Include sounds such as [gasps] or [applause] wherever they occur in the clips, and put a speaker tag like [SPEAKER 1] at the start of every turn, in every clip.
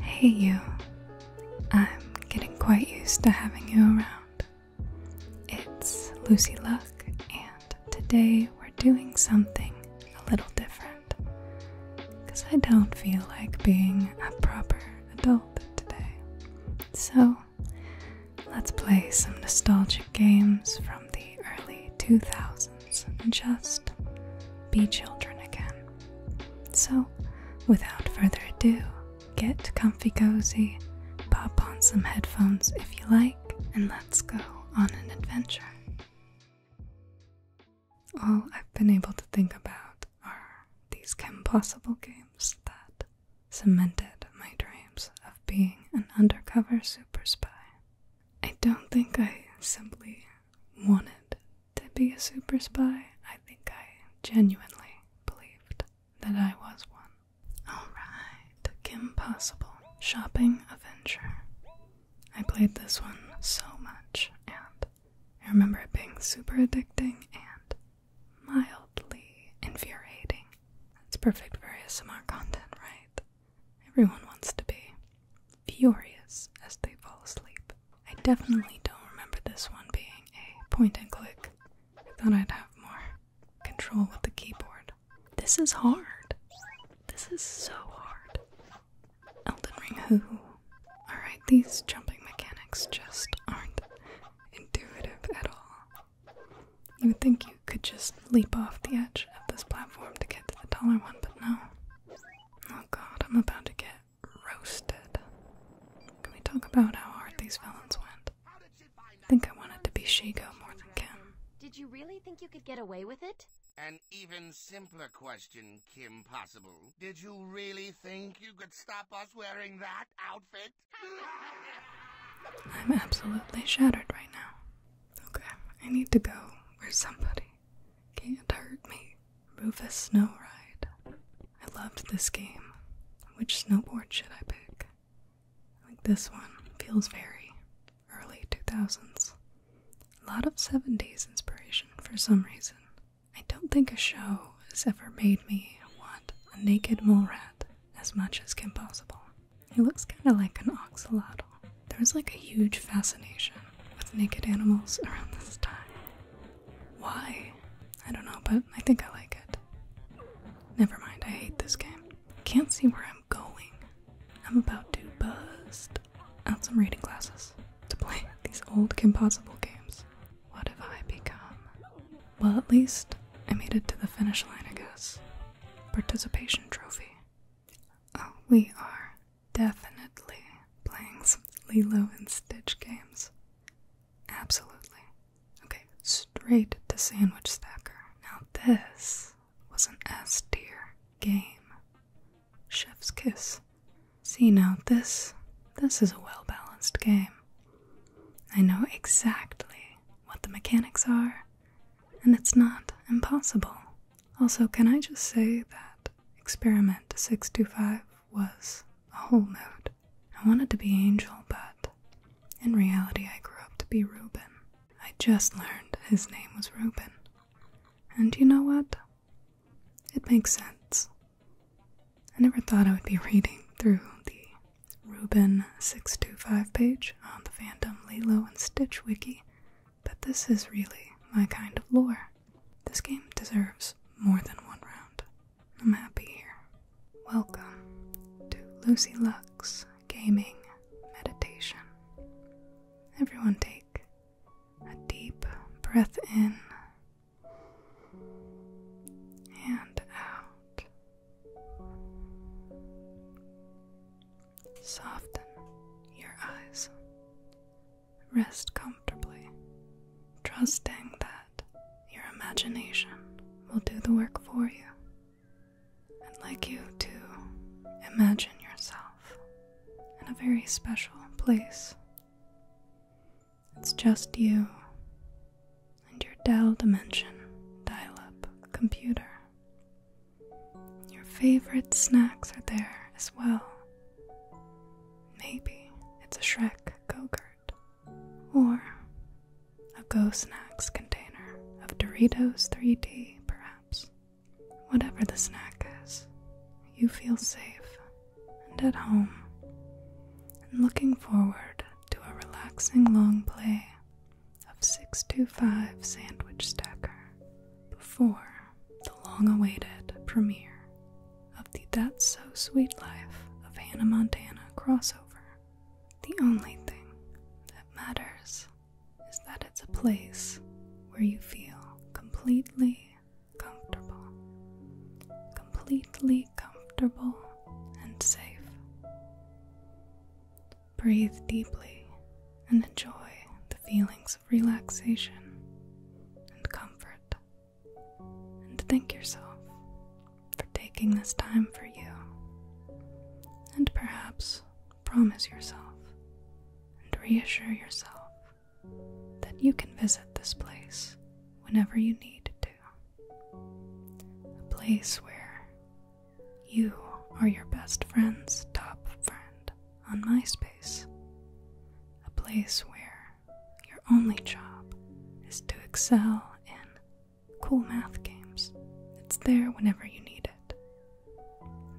[SPEAKER 1] Hey, you. I'm getting quite used to having you around. It's Lucy Luck, and today we're doing something a little different. Because I don't feel like being a proper adult today. So Let's play some nostalgic games from the early 2000s and just be children again. So, without further ado, get comfy cozy, pop on some headphones if you like, and let's go on an adventure. All I've been able to think about are these impossible games that cemented my dreams of being an undercover super spy. I don't think I simply wanted to be a super spy. I think I genuinely believed that I was one. Alright, Kim Possible Shopping adventure. I played this one so much and I remember it being super addicting and mildly infuriating. It's perfect for ASMR content, right? Everyone wants to be furious as they fall asleep. I definitely don't remember this one being a point and click. I thought I'd have more control with the keyboard. This is hard. This is so hard. Elden Ring who? Alright, these jumping mechanics just aren't intuitive at all. You would think you could just leap off the edge of this platform to get to the taller one, but no. Oh god, I'm about to get roasted. Can we talk about how hard these villains went? think I wanted to be Shigo more than Kim. Did you really think you could get away with it? An even simpler question, Kim Possible. Did you really think you could stop us wearing that? I'm absolutely shattered right now. Okay, I need to go where somebody can't hurt me. Rufus Snow Ride. I loved this game. Which snowboard should I pick? this one feels very early 2000s. A lot of 70s inspiration for some reason. I don't think a show has ever made me want a naked mole rat as much as Kim Possible. It looks kind of like an oxalotl. There's like a huge fascination with naked animals around this time. Why? I don't know, but I think I like it. Never mind, I hate this game. Can't see where I'm going. I'm about to bust out some reading glasses to play [laughs] these old Kim Possible games. What have I become? Well, at least I made it to the finish line, I guess. Participation trophy. Oh, we are definitely playing some Lilo and Stitch games. Absolutely. Okay, straight to Sandwich Stacker. Now, this was an S tier game. Chef's Kiss. See, now this. This is a well balanced game. I know exactly what the mechanics are, and it's not impossible. Also, can I just say that Experiment 625 was a whole note. I wanted to be Angel, but in reality, I grew up to be Reuben. I just learned his name was Reuben. And you know what? It makes sense. I never thought I would be reading through the Ruben 625 page on the Fandom Lilo and Stitch wiki, but this is really my kind of lore. This game deserves more than one round. I'm happy here. Welcome to Lucy Lux Gaming Meditation. Everyone take a deep breath in and out. Soften your eyes. Rest comfortably, trusting that your imagination will do the work for you. I'd like you to imagine yourself in a very special place. It's just you and your Dell Dimension dial up computer. Your favorite snacks are there as well. Maybe it's a Shrek go or a Go Snacks container of Doritos 3D, perhaps. Whatever the snack is, you feel safe and at home, and looking forward to a relaxing long play of 625 Sandwich Stacker before the long awaited premiere of the That's So Sweet Life of Hannah Montana crossover. The only thing that matters is that it's a place where you feel completely comfortable, completely comfortable and safe. Breathe deeply and enjoy the feelings of relaxation and comfort. And thank yourself for taking this time for you. And perhaps promise yourself and reassure yourself that you can visit this place whenever you need to. A place where you are your best friend's top friend on MySpace. A place where your only job is to excel in cool math games. It's there whenever you need it.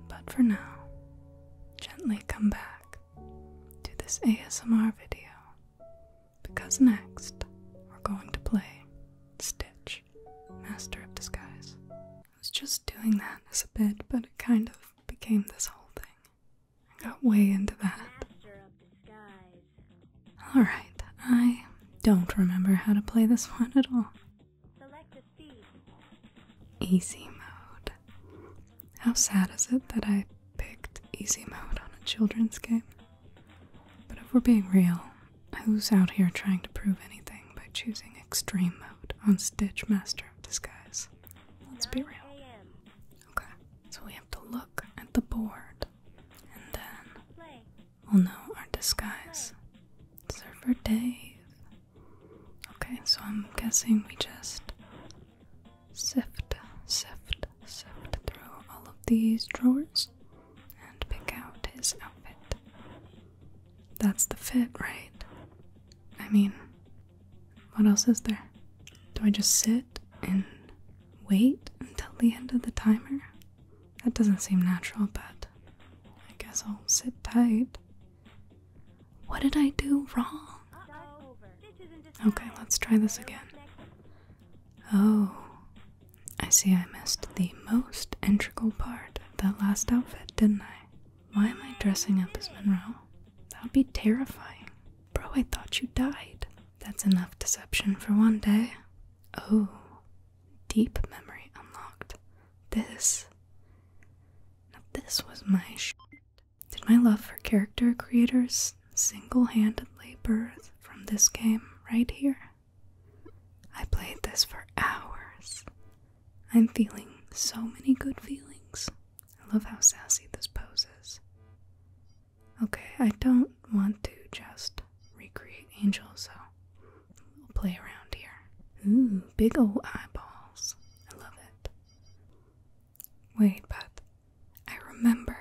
[SPEAKER 1] But for now, gently come back to this ASMR video because next we're going to play Stitch, Master of Disguise. I was just doing that as a bit, but it kind of became this whole thing. I got way into that. Alright, I don't remember how to play this one at all. Easy mode. How sad is it that I picked easy mode on a children's game? But if we're being real, who's out here trying to prove anything by choosing extreme mode on Stitch Master of Disguise? Let's be real. Okay, so we have to look at the board and then we'll know our disguise. Play. Surfer Dave. Okay, so I'm guessing we just sift, sift, sift through all of these drawers and pick out his outfit. That's the fit, right? I mean, what else is there? Do I just sit and wait until the end of the timer? That doesn't seem natural, but I guess I'll sit tight. What did I do wrong? Okay, let's try this again. Oh, I see I missed the most integral part of that last outfit, didn't I? Why am I dressing up as Monroe? That would be terrifying. Bro, I thought you died. That's enough deception for one day. Oh, deep memory unlocked. This. this was my shit. Did my love for character creators single handedly birth from this game right here? I played this for hours. I'm feeling so many good feelings. I love how sassy this pose is. Okay, I don't want to just recreate angels. so we'll play around here. Ooh, big old eyeballs. I love it. Wait, but I remember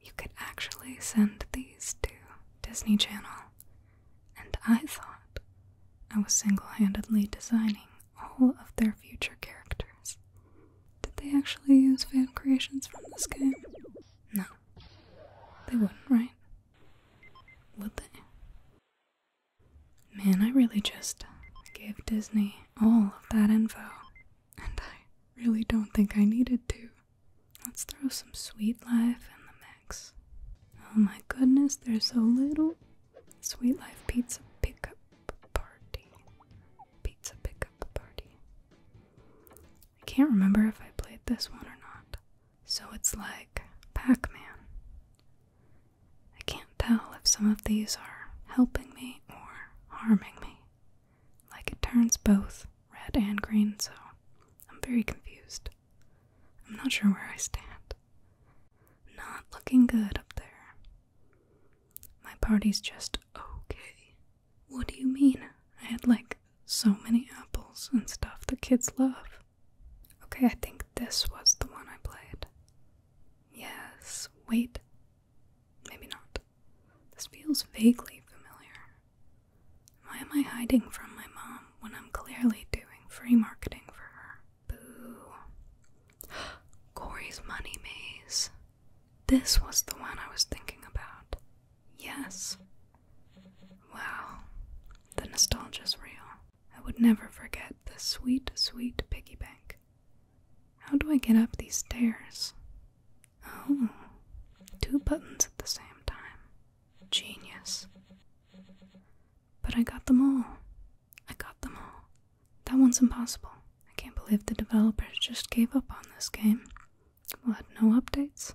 [SPEAKER 1] you could actually send these to Disney Channel, and I thought I was single handedly designing all of their future characters. Did they actually use fan creations from this game? No. They wouldn't, right? Would they? Man, I really just gave Disney all of that info, and I really don't think I needed to. Let's throw some sweet life in the mix. Oh my goodness, there's a little sweet life pizza pickup party. Pizza pickup party. I can't remember if I played this one or not. So it's like Pac Man. I can't tell if some of these are helping me or harming me. Like it turns both red and green, so I'm very confused. I'm not sure where I stand. Not looking good up there. My party's just okay. What do you mean? I had like so many apples and stuff the kids love. Okay, I think this was the one I played. Yes, wait. Maybe not. This feels vaguely familiar. Why am I hiding from my mom when I'm clearly doing free marketing for her? Boo. [gasps] Corey's money maze. This was the one I was thinking about. Yes. Wow. The nostalgia is real. I would never forget the sweet, sweet piggy bank. How do I get up these stairs? Oh, two buttons at the same time. Genius. But I got them all. I got them all. That one's impossible. I can't believe the developers just gave up on this game. We'll have no updates?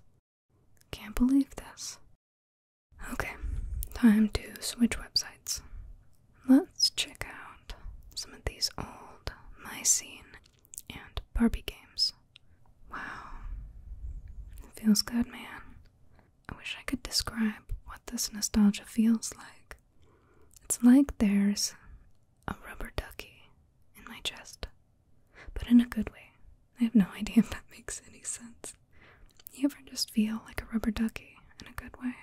[SPEAKER 1] Can't believe this. Okay, time to switch websites. Let's check out some of these old Mycene and Barbie games. Wow. feels good, man. I wish I could describe what this nostalgia feels like. It's like there's a rubber ducky in my chest, but in a good way. I have no [laughs] idea if that makes any sense. You ever just feel like a rubber ducky in a good way?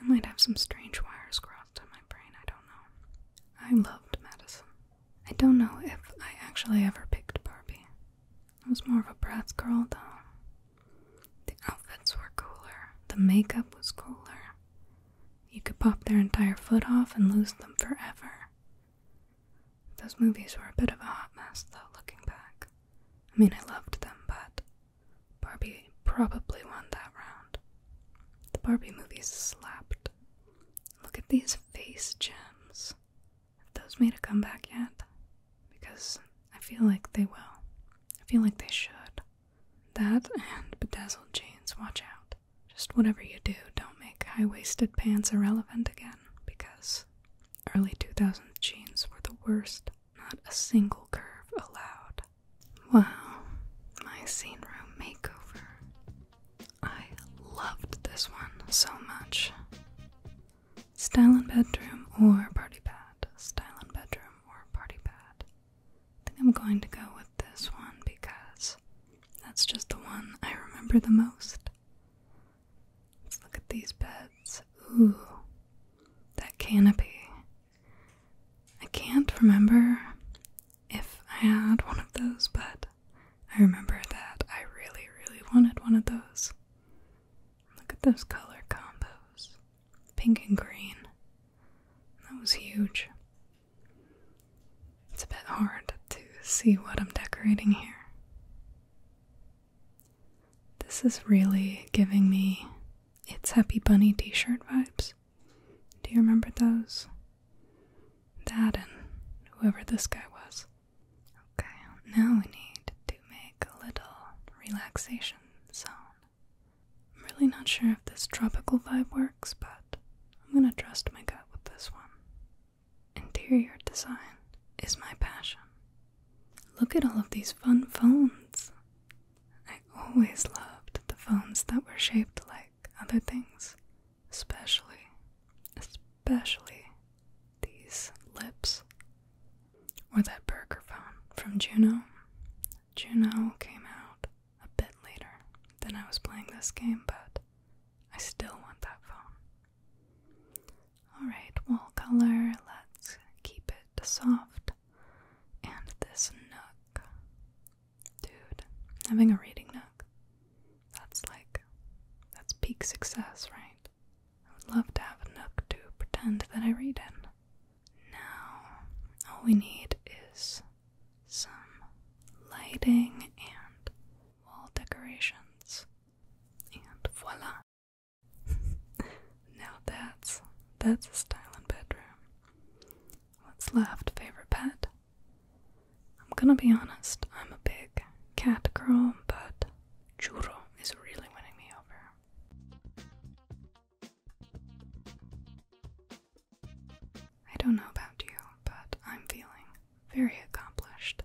[SPEAKER 1] I might have some strange wires crossed in my brain, I don't know. I loved Madison. I don't know if I actually ever picked Barbie. I was more of a bratz girl, though. The outfits were cooler, the makeup was cooler. You could pop their entire foot off and lose them forever. Those movies were a bit of a hot mess, though, looking back. I mean, I loved them, but Barbie probably won that round. The Barbie movies slapped. Look at these face gems. Have those made a comeback yet? Because I feel like they will. I feel like they should. That and bedazzled jeans, watch out. Just whatever you do, don't make high waisted pants irrelevant again, because Early 2000s jeans were the worst, not a single curve allowed. Wow, my scene room makeover. I loved this one so much. Style bedroom or party pad. Style bedroom or party pad. I think I'm going to go with this one because that's just the one I remember the most. Let's look at these beds. Ooh, that canopy. I can't remember if I had one of those, but I remember that I really, really wanted one of those. Look at those color combos pink and green. That was huge. It's a bit hard to see what I'm decorating here. This is really giving me It's Happy Bunny t shirt vibes. Do you remember those? That and whoever this guy was. Okay, now we need to make a little relaxation zone. I'm really not sure if this tropical vibe works, but I'm gonna trust my gut with this one. Interior design is my passion. Look at all of these fun phones. I always loved the phones that were shaped like other things, especially, especially these lips. Or that burger phone from Juno. Juno came out a bit later than I was playing this game, but I still want that phone. Alright, wall color, let's keep it soft. And this nook. Dude, having a reading nook. That's like, that's peak success, right? I would love to have a nook to pretend that I read in. Now, all we need is some lighting and wall decorations. And voila! [laughs] now that's that's a stylish bedroom. What's left, favorite pet? I'm gonna be honest, I'm a big cat girl, but Churro is really winning me over. I don't know about you, but I'm feeling very accomplished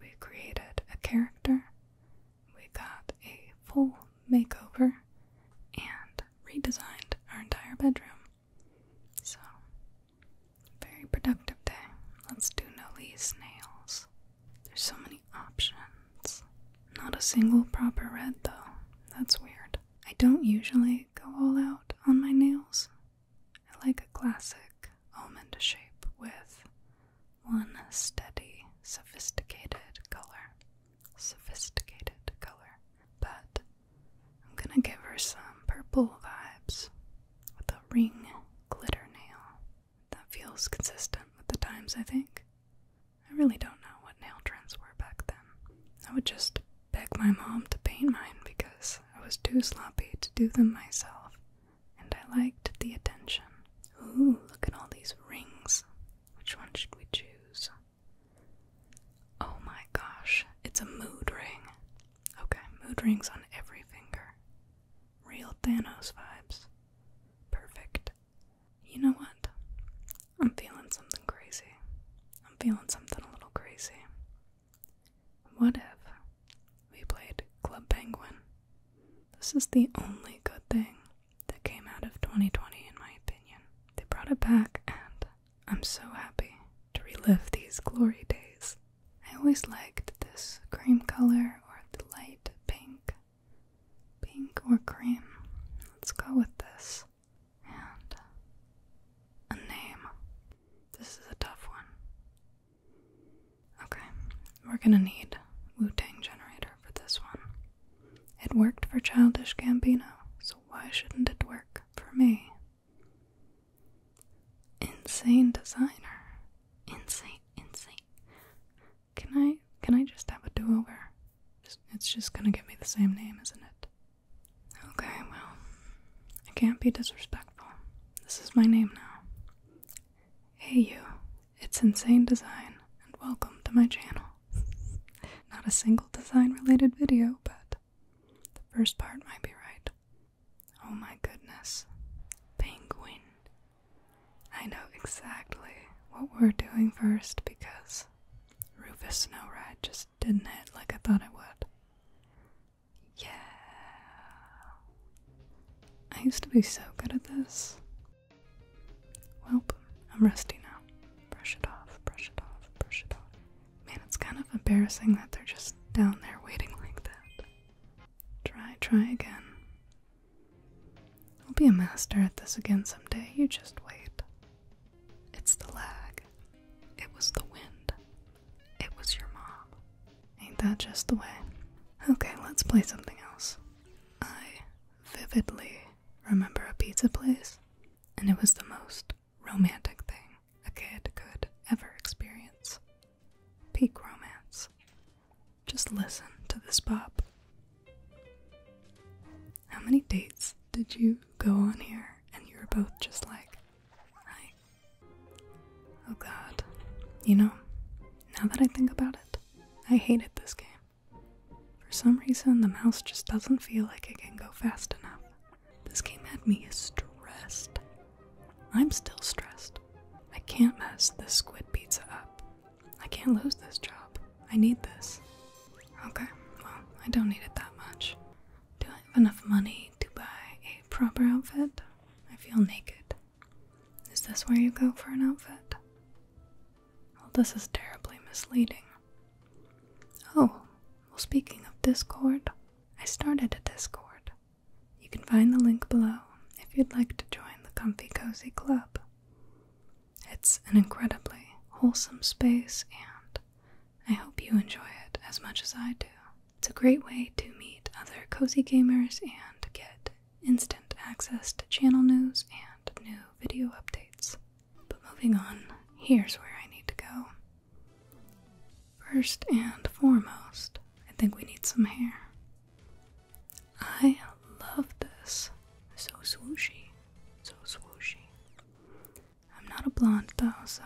[SPEAKER 1] we created a character, we got a full makeover, and redesigned our entire bedroom. So, very productive day. Let's do Nolie's nails. There's so many options. Not a single proper red, though. That's weird. I don't usually go all out on my nails. I like a classic almond shape with one steady, sophisticated color. Sophisticated color. But I'm gonna give her some purple vibes with a ring glitter nail. That feels consistent with the times, I think. I really don't know what nail trends were back then. I would just beg my mom to paint mine because I was too sloppy to do them myself and I liked the attention. Ooh, look at all these rings. Which one should we choose? Oh my gosh, it's a mood ring. Okay, mood rings on every finger. Real Thanos vibes. Perfect. You know what? I'm feeling something crazy. I'm feeling something a little crazy. What if we played Club Penguin? This is the only good thing that came out of 2020, in my opinion. They brought it back, and I'm so happy to relive these glory days. I always liked this cream color or the light pink. Pink or cream. Let's go with this. And a name. This is a tough one. Okay, we're gonna need Wu Tang Generator for this one. It worked for Childish Gambino, so why shouldn't it work for me? Insane designer. Insane, insane. Can I can I just have a do-over? It's just gonna give me the same name, isn't it? Okay, well, I can't be disrespectful. This is my name now. Hey, you. It's Insane Design, and welcome to my channel. [laughs] Not a single design related video, but the first part might be right. Oh my goodness. Penguin. I know exactly what we're doing first because Rufus Snow Red just didn't it like I thought it would. Yeah. I used to be so good at this. Well, I'm rusty now. Brush it off, brush it off, brush it off. Man, it's kind of embarrassing that they're just down there waiting like that. Try, try again. I'll be a master at this again someday, you just wait. It's the lag. It was the wind. It was your mom. Ain't that just the way? Okay, let's play something else. I vividly remember a pizza place, and it was the most romantic thing a kid could ever experience. Peak romance. Just listen to this pop. How many dates did you go on here and you were both just like, right? Oh god. You know, now that I think about it, I hated this game. For some reason, the mouse just doesn't feel like it can go fast enough. This game had me stressed. I'm still stressed. I can't mess this squid pizza up. I can't lose this job. I need this. Okay, well, I don't need it that much. Do I have enough money to buy a proper outfit? I feel naked. Is this where you go for an outfit? Well, this is terribly misleading. Oh, well, speaking of Discord, I started a Discord. You can find the link below if you'd like to join the Comfy Cozy Club. It's an incredibly wholesome space and I hope you enjoy it as much as I do. It's a great way to meet other cozy gamers and get instant access to channel news and new video updates. But moving on, here's where I need to go. First and foremost, I think we need some hair. I love this. So swooshy. So swooshy. I'm not a blonde though, so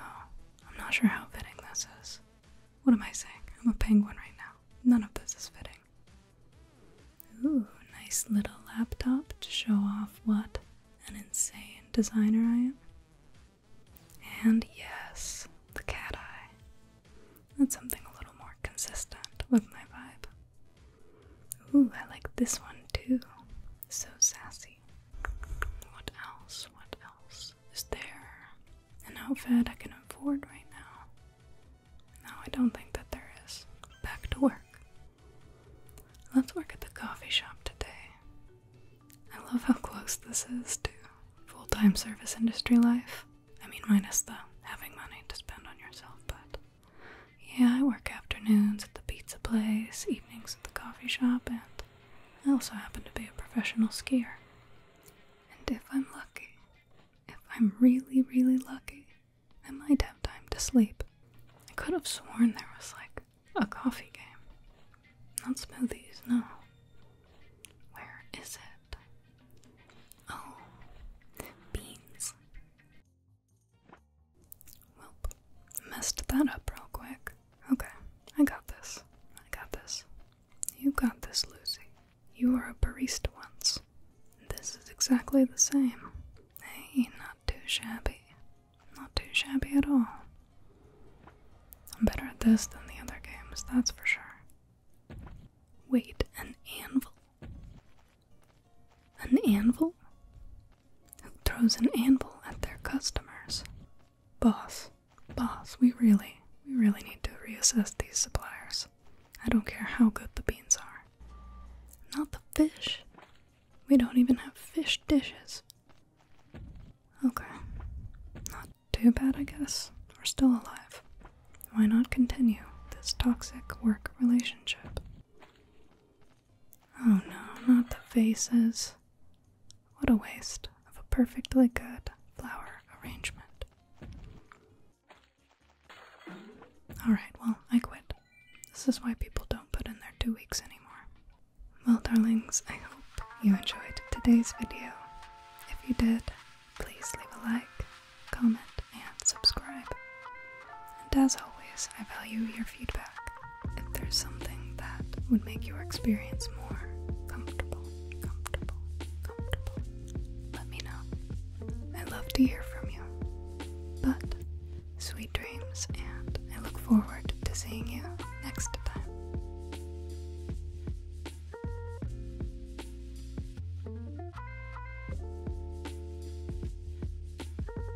[SPEAKER 1] I'm not sure how fitting this is. What am I saying? I'm a penguin right now. None of this is fitting. Ooh, nice little laptop to show off what an insane designer I am. And yes, the cat eye. That's something a little more consistent with my vibe.
[SPEAKER 2] Ooh, I like this one too.
[SPEAKER 1] So sassy. What else? What else? Is there an outfit I can afford right now? No, I don't think that there is. Back to work. Let's work at the coffee shop today. I love how close this is to full time service industry life. I mean, minus the having money to spend on yourself, but yeah, I work afternoons at the pizza place, evenings at the coffee shop, and I also happen to be a professional skier. And if I'm lucky, if I'm really, really lucky, I might have time to sleep. I could have sworn there was like a coffee game. Not smoothies, no. Where is it? Oh, beans. Well, messed that up real quick. Okay, I got this. I got this. You got this, Lucy. You were a barista once. This is exactly the same. Hey, not too shabby. Not too shabby at all. I'm better at this than the other games, that's for sure. Wait, an anvil? An anvil? Who throws an anvil at their customers? Boss, boss, we really, we really need to reassess these suppliers. I don't care how good the beans are. Not the fish. We don't even have fish dishes. Okay. Not too bad, I guess. We're still alive. Why not continue this toxic work relationship? Oh no, not the vases. What a waste of a perfectly good flower arrangement. Alright, well, I quit. This is why people don't put in their two weeks anymore. Well, darlings, I hope you enjoyed today's video. If you did, please leave a like, comment, and subscribe. And as always, I value your feedback. If there's something that would make your experience more comfortable, comfortable, comfortable, let me know. I love to hear from you. But sweet dreams, and I look forward to seeing you next time.